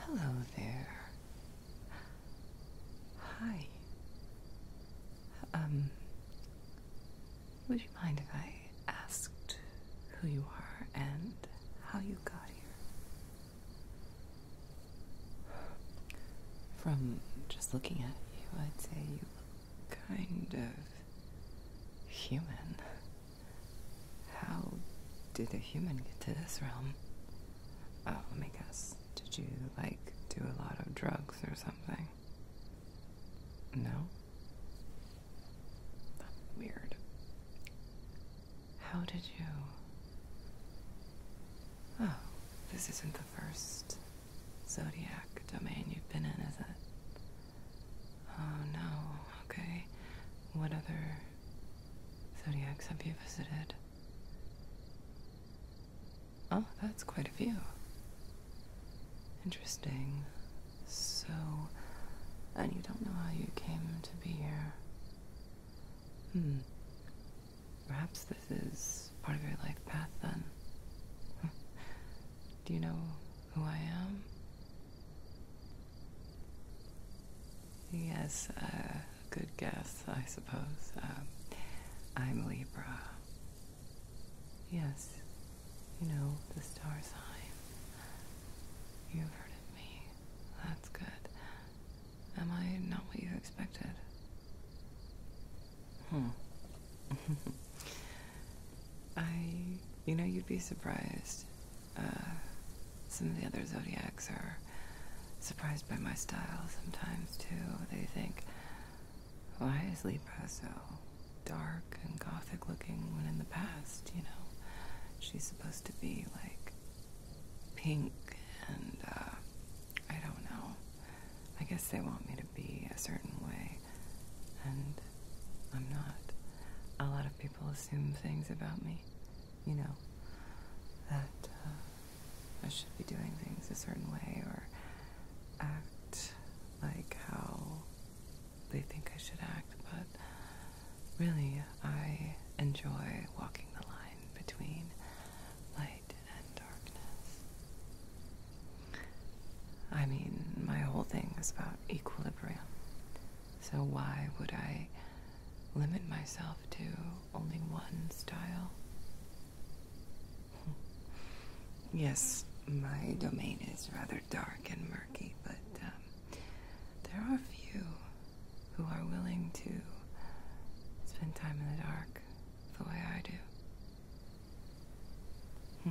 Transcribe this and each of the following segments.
Hello there. Hi. Um, would you mind if I asked who you are and how you got here? From just looking at you, I'd say you look kind of human. How did a human get to this realm? Oh, let me guess. Did you, like, do a lot of drugs or something? No? weird. How did you. Oh, this isn't the first zodiac domain you've been in, is it? Oh no, okay. What other zodiacs have you visited? Oh, that's quite a few. Interesting. So, and you don't know how you came to be here. Hmm. Perhaps this is part of your life path then. Do you know who I am? Yes, a uh, good guess, I suppose. Um, I'm Libra. Yes, you know, the star sign. You've heard of me. That's good. Am I not what you expected? Hmm. I, you know, you'd be surprised. Uh, some of the other Zodiacs are surprised by my style sometimes, too. They think, why is Libra so dark and gothic looking when in the past, you know? She's supposed to be, like, pink and, uh, I don't know. I guess they want me to be a certain way and I'm not. A lot of people assume things about me, you know, that uh, I should be doing things a certain way or act like how they think I should act, but really, I enjoy walking the line between light and darkness. I mean, my whole thing is about equilibrium. So why would I limit myself to only one style? yes, my domain is rather dark and murky, but um, there are few who are willing to spend time in the dark the way I do. Hmm.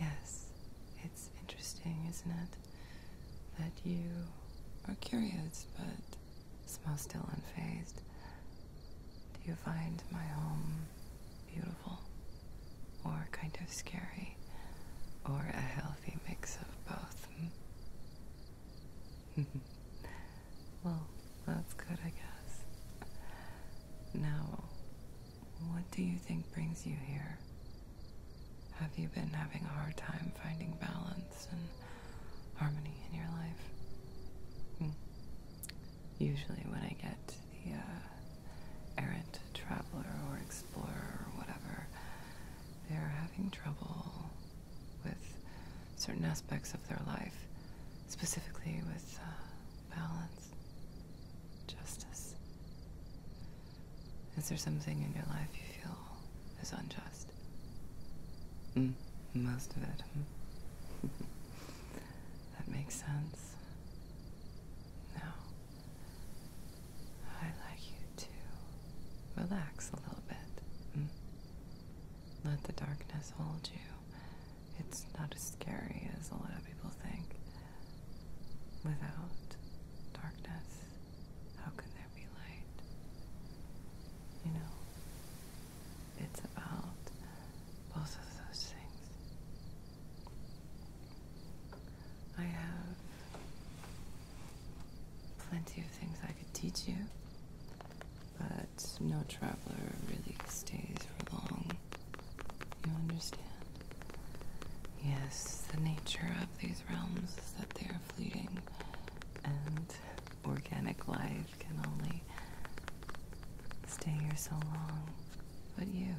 Yes, it's interesting, isn't it? That you are curious, but somehow still unfazed. Do you find my home beautiful? Or kind of scary? Or a healthy mix of both? Hmm. Well, that's good, I guess. Now, what do you think brings you here? Have you been having a hard time finding balance and harmony in your life? Hmm. Usually, when I get the uh, errant traveler or explorer or whatever, they're having trouble with certain aspects of their life specifically with uh, balance, justice. Is there something in your life you feel is unjust? Mm, most of it. that makes sense. Now, i like you to relax a little bit. Mm. Let the darkness hold you. It's not as scary as a lot of people think. Without darkness, how can there be light? You know, it's about both of those things. I have plenty of things I could teach you. But no traveler really stays for long. You understand? Yes, the nature of these realms is that they are fleeting, and organic life can only stay here so long. But you,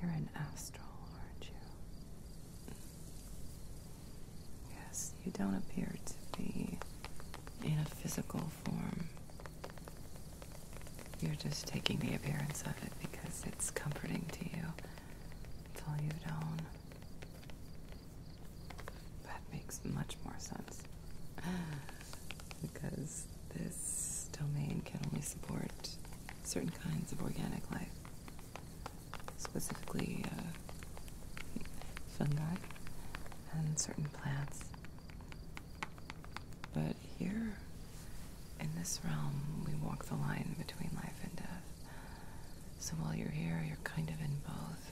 you're an astral, aren't you? Yes, you don't appear to be in a physical form. You're just taking the appearance of it because it's comforting to you. It's you've known. That makes much more sense. Because this domain can only support certain kinds of organic life specifically uh, fungi and certain plants. But here, in this realm, we walk the line between life and death. So while you're here, you're kind of in both.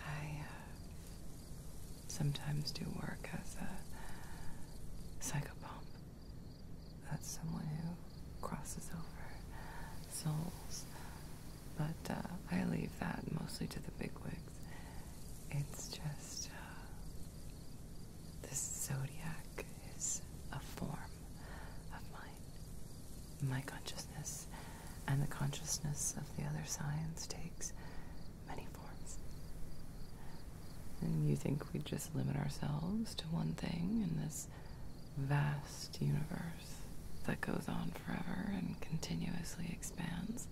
I uh, sometimes do work as a psychopomp. That's someone who crosses over souls. But uh, I leave that mostly to the bigwigs. It's just uh, this zodiac is a form of mine, my consciousness, and the consciousness of the other signs takes many forms. And you think we just limit ourselves to one thing in this vast universe that goes on forever and continuously expands.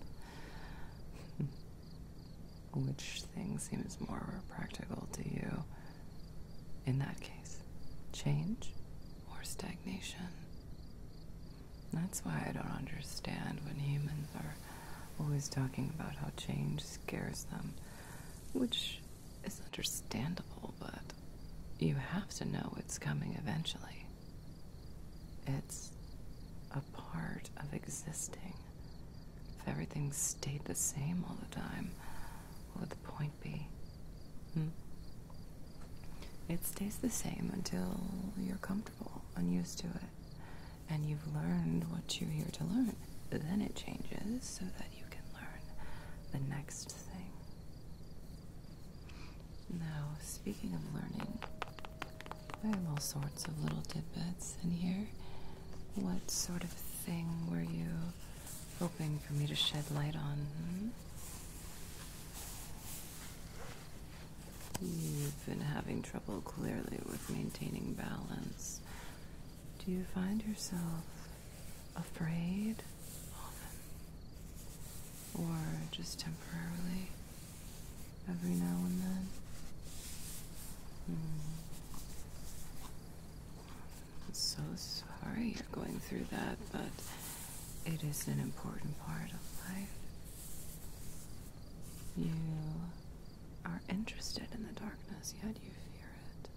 Which thing seems more practical to you in that case? Change or stagnation? That's why I don't understand when humans are always talking about how change scares them, which it's understandable, but you have to know it's coming eventually. It's a part of existing. If everything stayed the same all the time, what would the point be? Hmm? It stays the same until you're comfortable and used to it, and you've learned what you're here to learn. Then it changes so that you can learn the next thing. Now, speaking of learning, I have all sorts of little tidbits in here. What sort of thing were you hoping for me to shed light on? Hmm? You've been having trouble clearly with maintaining balance. Do you find yourself afraid or just temporarily, every now and then. Hmm. I'm so sorry you're going through that, but it is an important part of life. You are interested in the darkness, yet you fear it.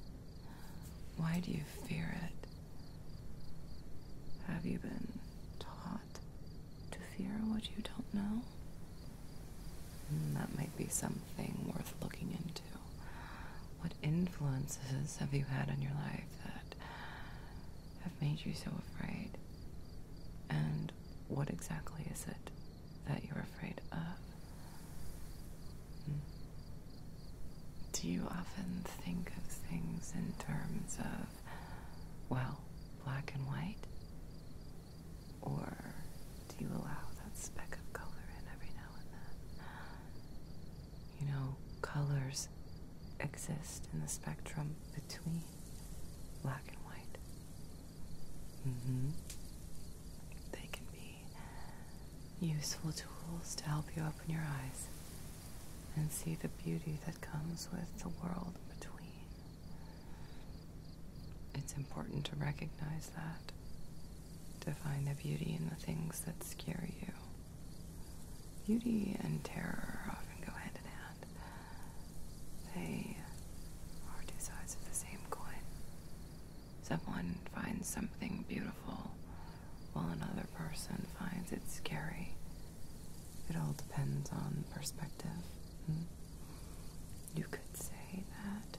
Why do you fear it? Have you been taught to fear what you don't know? Hmm, that might be something worth looking into. What influences have you had in your life that have made you so afraid? And what exactly is it that you're afraid of? Do you often think of things in terms of, well, black and white? Or do you allow that speck of color in every now and then? You know, colors exist in the spectrum between black and white. Mm-hmm. They can be useful tools to help you open your eyes and see the beauty that comes with the world between. It's important to recognize that, to find the beauty in the things that scare you. Beauty and terror often go hand in hand. They are two sides of the same coin. Someone finds something beautiful while another person finds it scary. It all depends on perspective. Hmm? You could say that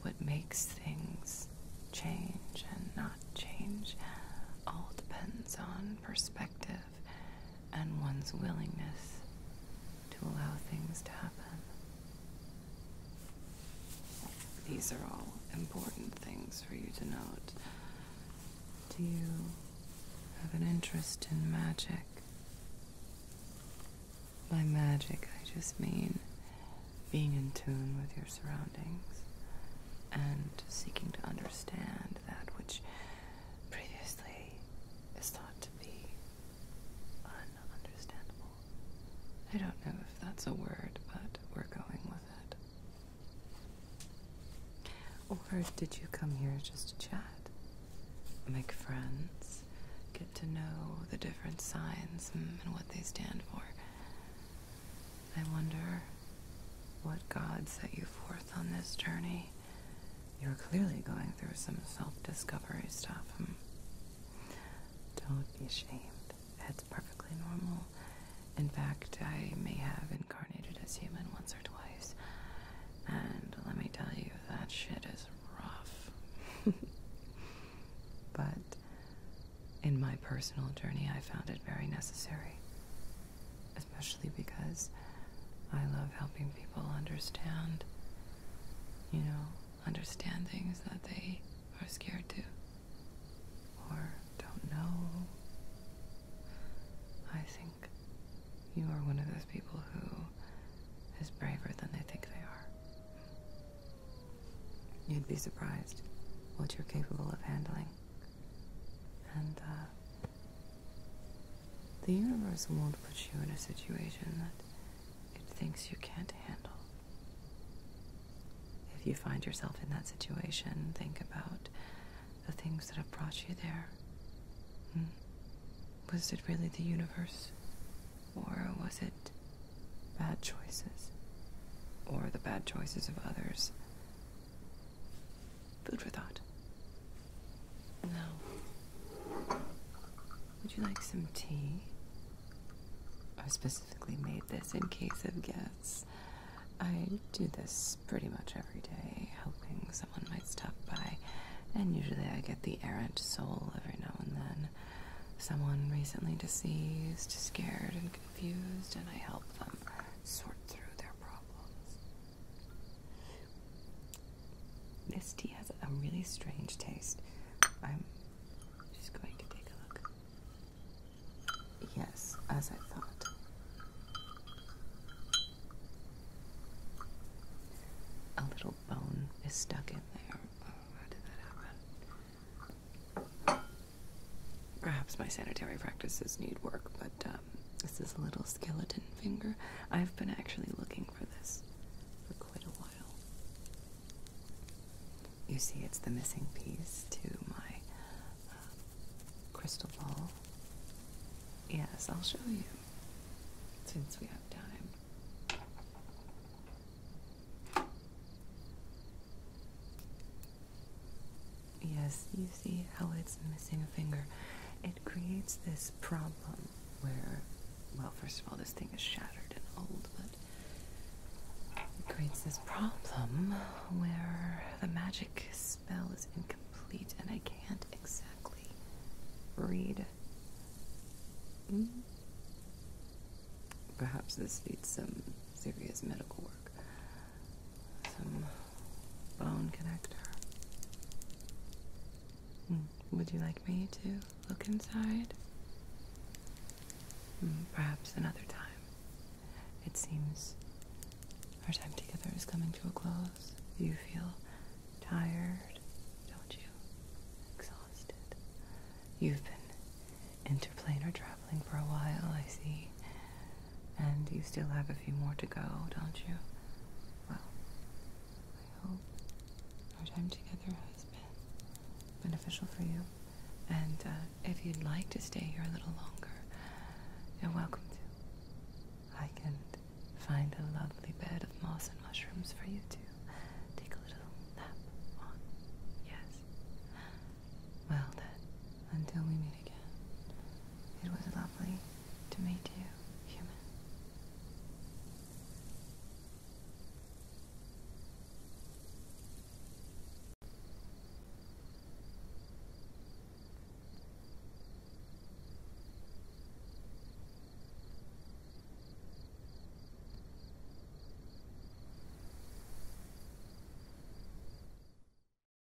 what makes things change and not change all depends on perspective and one's willingness to allow things to happen. These are all important things for you to note. Do you have an interest in magic? By magic, I just mean being in tune with your surroundings and seeking to understand that which previously is thought to be ununderstandable. I don't know if that's a word, but we're going with it. Or did you come here just to chat? Make friends, get to know the different signs and what they stand for. I wonder what God set you forth on this journey you are clearly going through some self-discovery stuff. Hmm? Don't be ashamed. That's perfectly normal. In fact, I may have incarnated as human once or twice. And let me tell you, that shit is rough. but in my personal journey, I found it very necessary. Especially because I love helping people understand you know, understand things that they are scared to or don't know. I think you are one of those people who is braver than they think they are. You'd be surprised what you're capable of handling. And uh, the universe won't put you in a situation that it thinks you can't handle. If you find yourself in that situation, think about the things that have brought you there. Hmm? Was it really the universe? Or was it bad choices? Or the bad choices of others? Food for thought. No. Would you like some tea? I specifically made this in case of guests. I do this pretty much every day, hoping someone might stop by, and usually I get the errant soul every now and then. Someone recently deceased, scared, and confused, and I help them sort through their problems. This tea has a really strange taste. I'm just going to take a look. Yes, as I thought. A little bone is stuck in there. Oh, how did that happen? Perhaps my sanitary practices need work, but um, this is a little skeleton finger. I've been actually looking for this for quite a while. You see, it's the missing piece to my um, crystal ball. Yes, I'll show you since we have time. Yes, you see how it's missing a finger creates this problem where, well, first of all, this thing is shattered and old, but it creates this problem where the magic spell is incomplete and I can't exactly read. Hmm? Perhaps this needs some serious medical work some bone connector. Mm, would you like me to look inside? Mm, perhaps another time. It seems our time together is coming to a close. You feel tired, don't you? Exhausted. You've been interplanar traveling for a while, I see. And you still have a few more to go, don't you? Well, I hope our time together has been beneficial for you. And uh, if you'd like to stay here a little longer, you're welcome to. I can find a lovely bed of moss and mushrooms for you to take a little nap on. Yes. Well then, until we meet it was lovely to meet you, human.